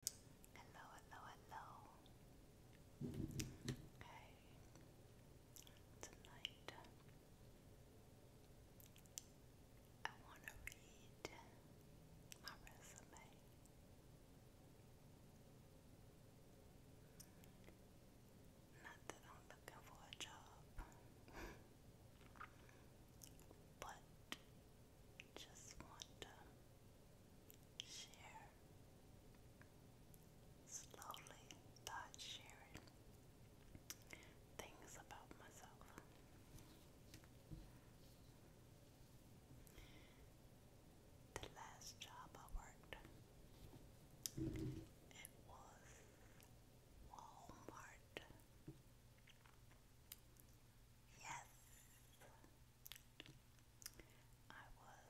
Hello, hello, hello. Okay. Tonight I want to read my resume. Not that I'm looking for a job, but just want to share. Slowly start sharing things about myself. The last job I worked, it was Walmart. Yes, I was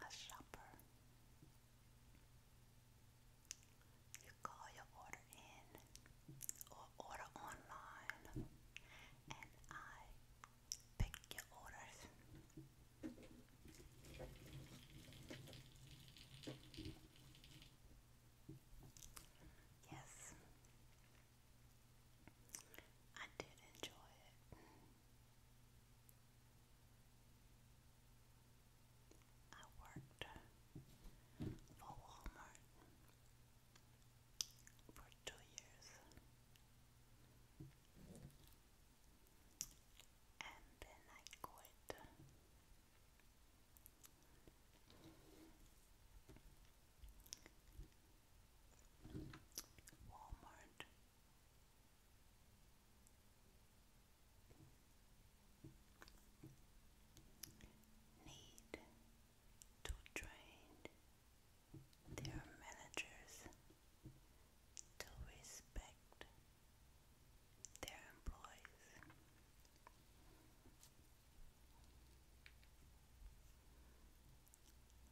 a shopper. You call your order in or order online, and I pick your orders. Yes, I did enjoy it. I worked for Walmart for two years and then I quit Walmart. Need to train their managers to respect their employees.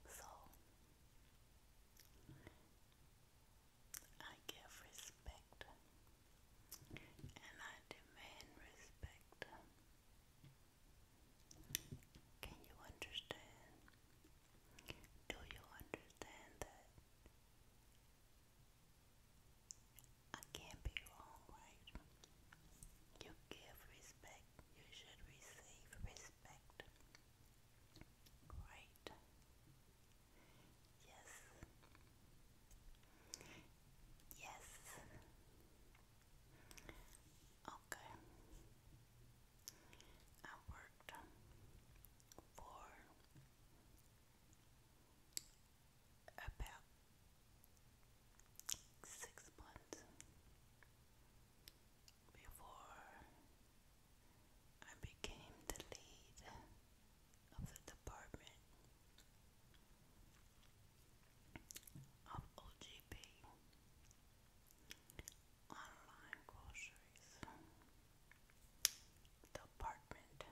So I give respect and I demand respect. Can you understand? Do you understand that I can't be wrong, right? You give respect, you should receive respect. Right? Yes. Yes. Okay. I worked for about six months before I became the lead of the department of OGP online groceries department.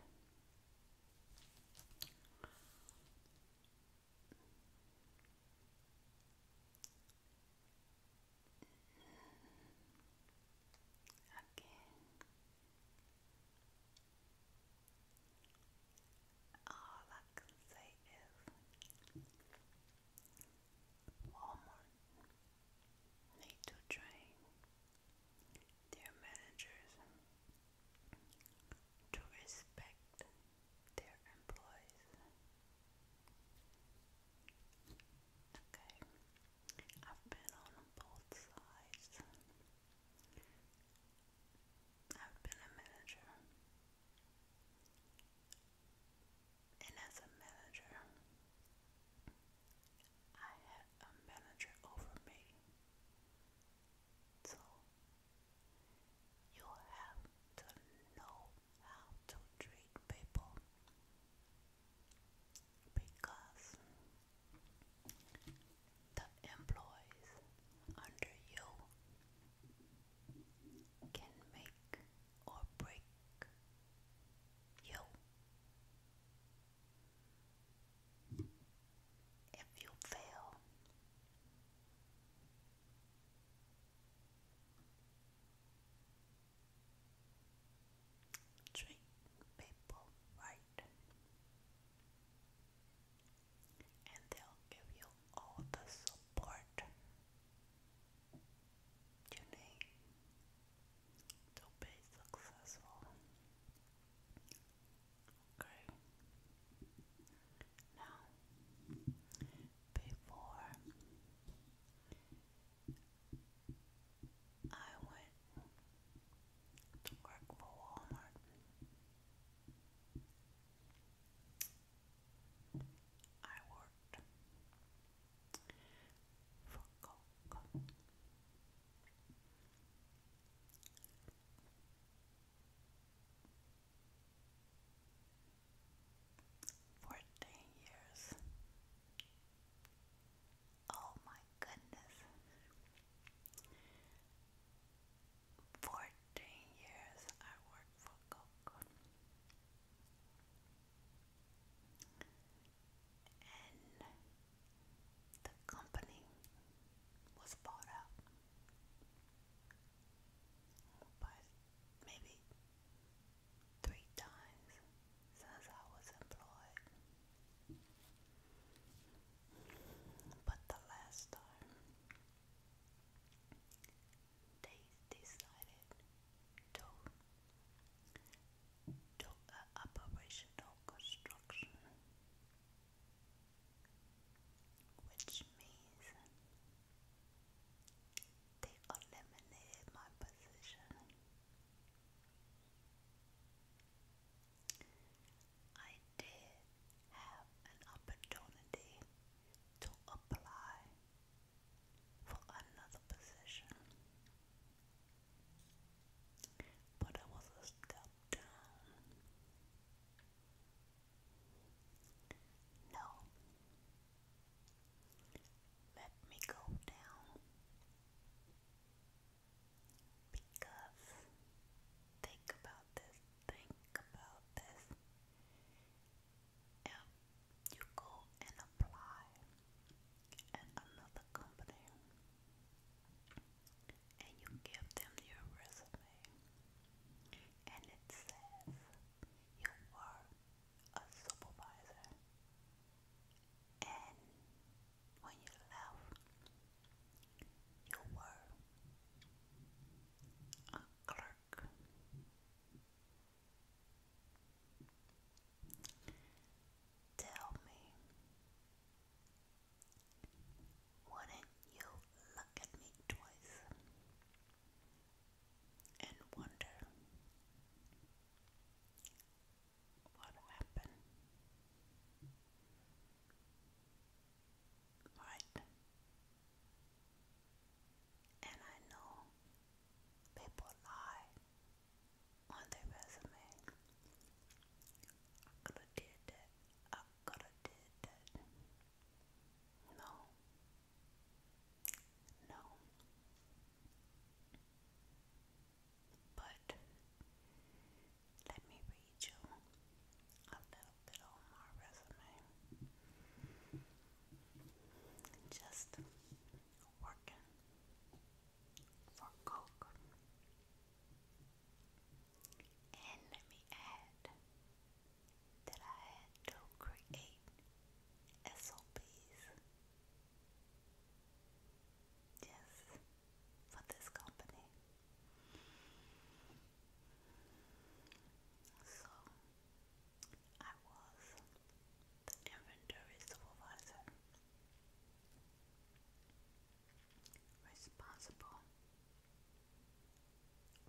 All I can say is Walmart need to train their managers to respect their employees. Okay, I've been on both sides. I've been a manager, and as a manager, I had a manager over me so you have to know how to treat people because the employees under you can make or break you if you fail. Treat people right, and they'll give you all the support you need to be successful. Okay. Now, before I went to work for Walmart, I worked for Coke. Fourteen years. Oh my goodness. Fourteen years I worked for Coke and the company was bought out. But maybe three times since I was employed. But the last time they decided to to a operational construction, which means they eliminated my position. I did have an opportunity to apply for another position, but I was step down. No. Let me go down. Because think about this, think about this. If you go and apply at another company and you give them your resume and it says you were a supervisor and when you left you were a clerk Tell me, wouldn't you look at me twice and wonder what happened? Right? And I know people lie on their resume. I could have did that. I could have did that. No. No. But let me read you a little bit on my resume. Just working for Coke. And let me add that I had create SOPs just for this company. So I was the inventory supervisor responsible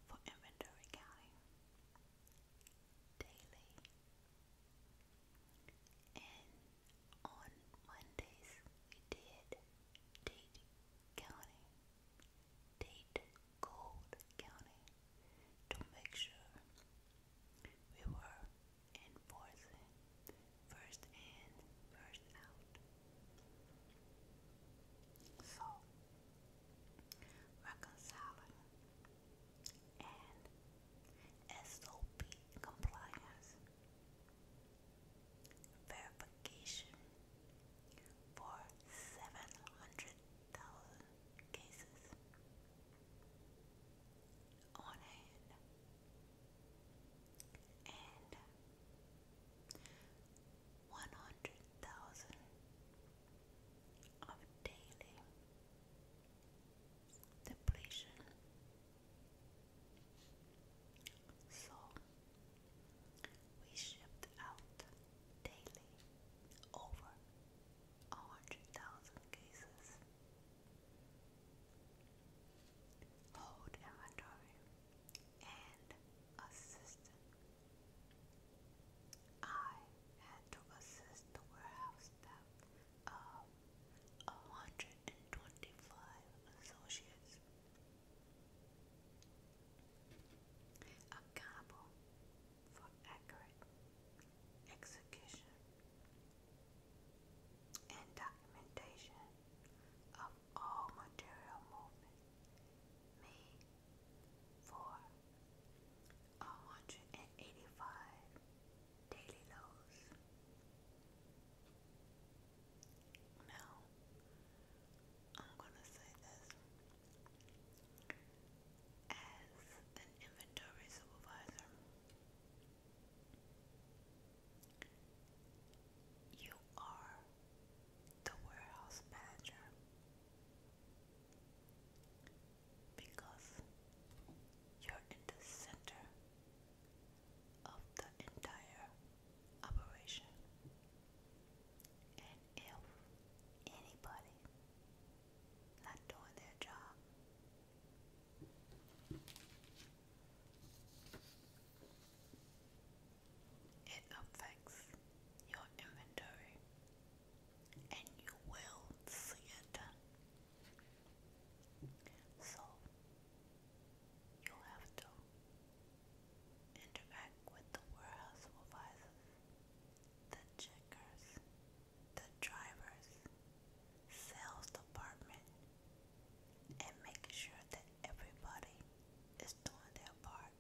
for inventory counting daily and on Mondays we did date counting date gold counting to make sure we were enforcing first in, first out. So, reconciling and SOP compliance verification for 700,000 cases on hand. And 100,000 of daily depletion. So we shipped out daily over 100,000 cases. Hold inventory and assistant. I had to assist the warehouse staff of 125 associates. Accountable for accurate execution and documentation of all material movement made for 185 daily loads. Now, I'm gonna say this as an inventory supervisor. You are the warehouse manager because you're in the center of the entire operation. And if anybody not doing their job. It affects your inventory, and you will see it. So, you have to interact with the warehouse supervisors, the checkers, the drivers, sales department, and making sure that everybody is doing their part.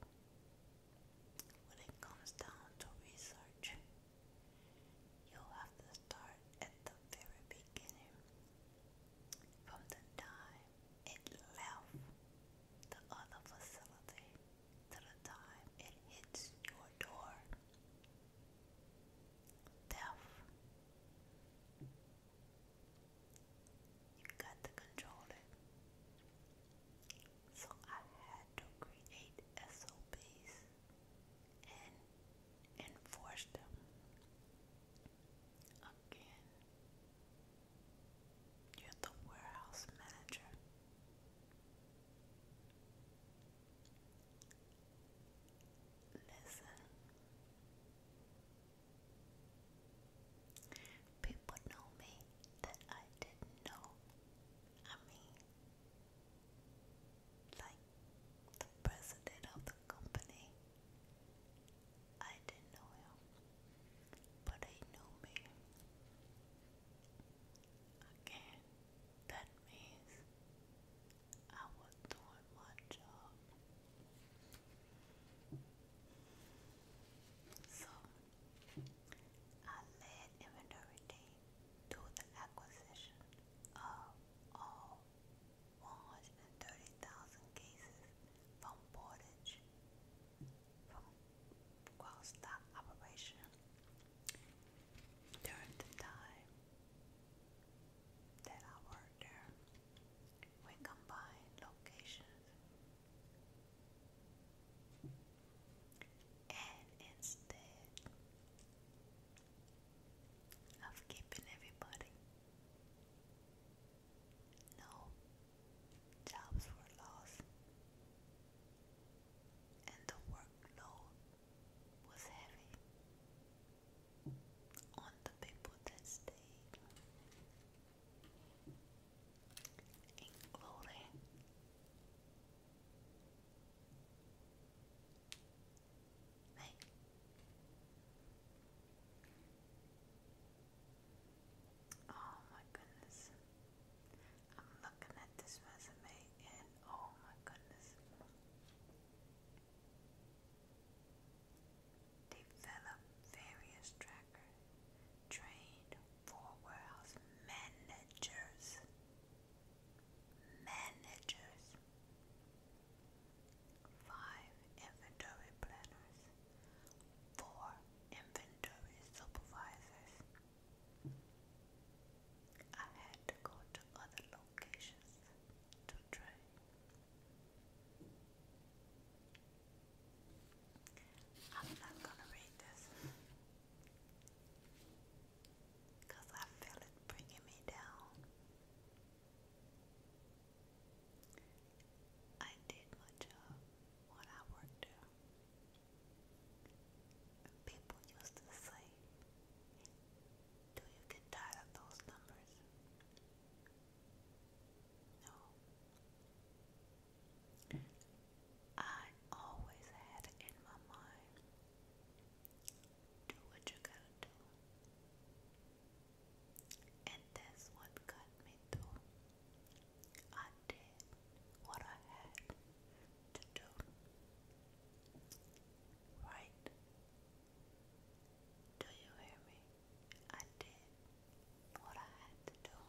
When it comes down to research, you'll have to start at the very beginning. From the time it left the other facility the time it hits your door. Death. You got to control it. So I had to create SOPs and enforce them. Again, you're the warehouse manager. Listen. People know me that I didn't know. I mean, like the president of the company, I didn't know him, but he knew me. Again, that means I was doing my job. So I led inventory team to the acquisition of all 130,000 cases from Portage, whilst that operation during the time that I worked there, we combined locations and instead of keeping everybody, no, jobs were lost, and the workload was heavy on the people that stayed, including me. Oh my goodness. I'm looking at this resume and oh my goodness. Develop various tracker. Trained for warehouse managers. Managers. Five inventory planners four inventory supervisors. I had to go to other locations to train. I'm not gonna read this because I feel it bringing me down. I did my job when I worked People used to say, Do you get tired of those numbers? No. I always had in my mind do what you gotta do. And that's what got me through. I did what I had to do. Right? Do you hear me? I did what I had to do.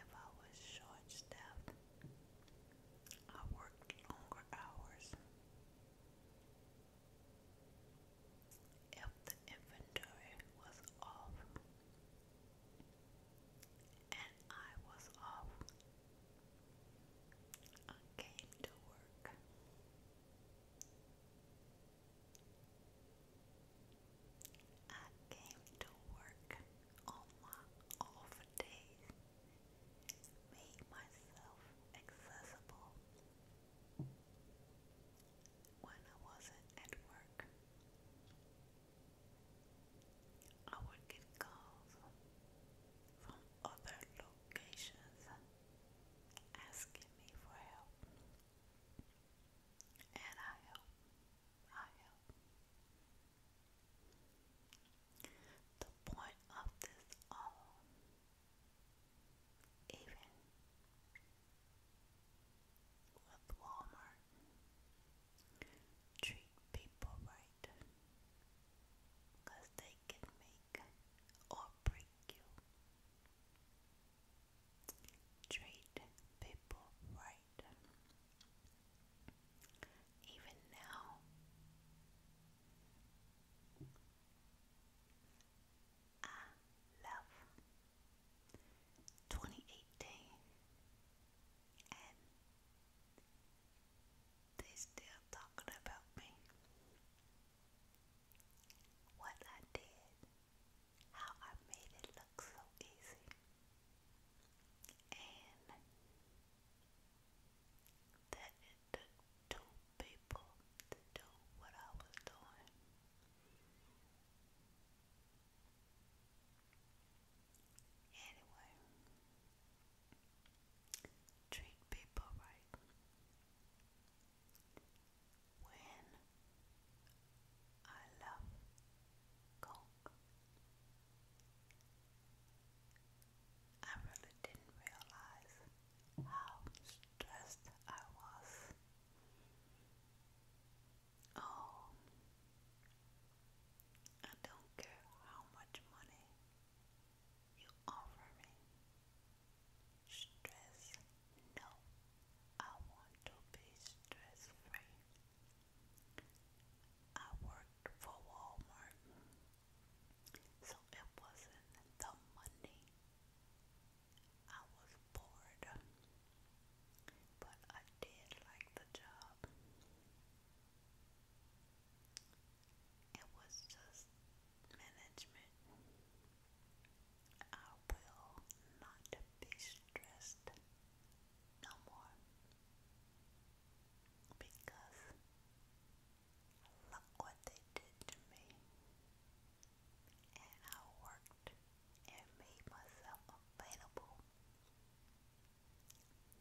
If I was short staffed, I worked longer hours if the inventory was off and I was off. I came to work. I came to work on my off days, made myself accessible when I wasn't at work. I would get calls from other locations asking me for help. And I help. I help. The point of this all, even with Walmart. Treat people right, cause they can make or break you. Treat people right. Even now, I love. 2018 and they still talking about me. What I did, how I made it look so easy. And that it took two people to do what I was doing. Anyway, treat people right. When I love Coke, I really didn't realize how stressed I was. Oh, I don't care how much money you offer me. Stress, no, I want to be stress free. I worked for Walmart, so it wasn't the money I was bored, but I did like the job. It was just management. I will not be stressed no more because Look what they did to me. And I worked and made myself available.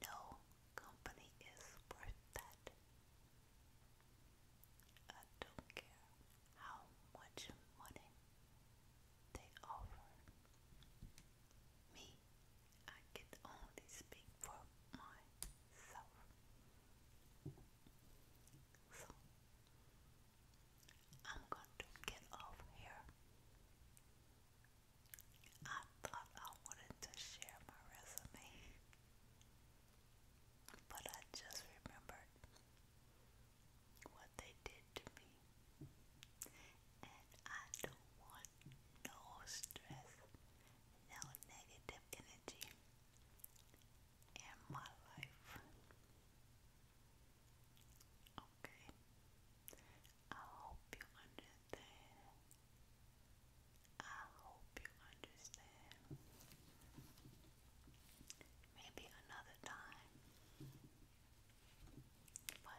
No company is worth that. I don't care how much money they offer. Me, I can only speak for myself. So I'm going to get off here. I thought I wanted to share my resume, but I just remembered what they did to me, and I don't want no stress, no negative energy in my life. Okay, I hope you understand. I hope you understand. Maybe another time, but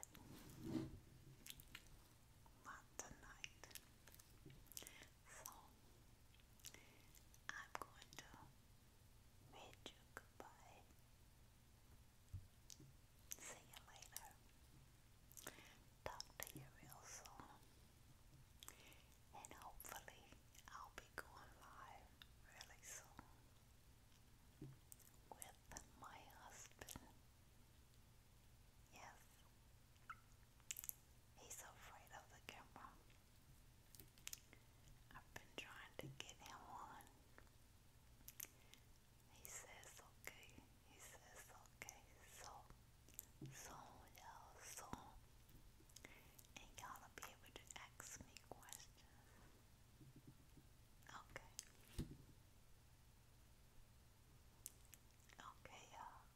not tonight. So I'm going to bid you goodbye. See you later. Talk to you real soon. And hopefully I'll be going live really soon with my husband. Yes, He's afraid of the camera. I've been trying to get him on. He says okay. He says okay. So, so you so, and y'all be able to ask me questions. Okay. Okay, y'all.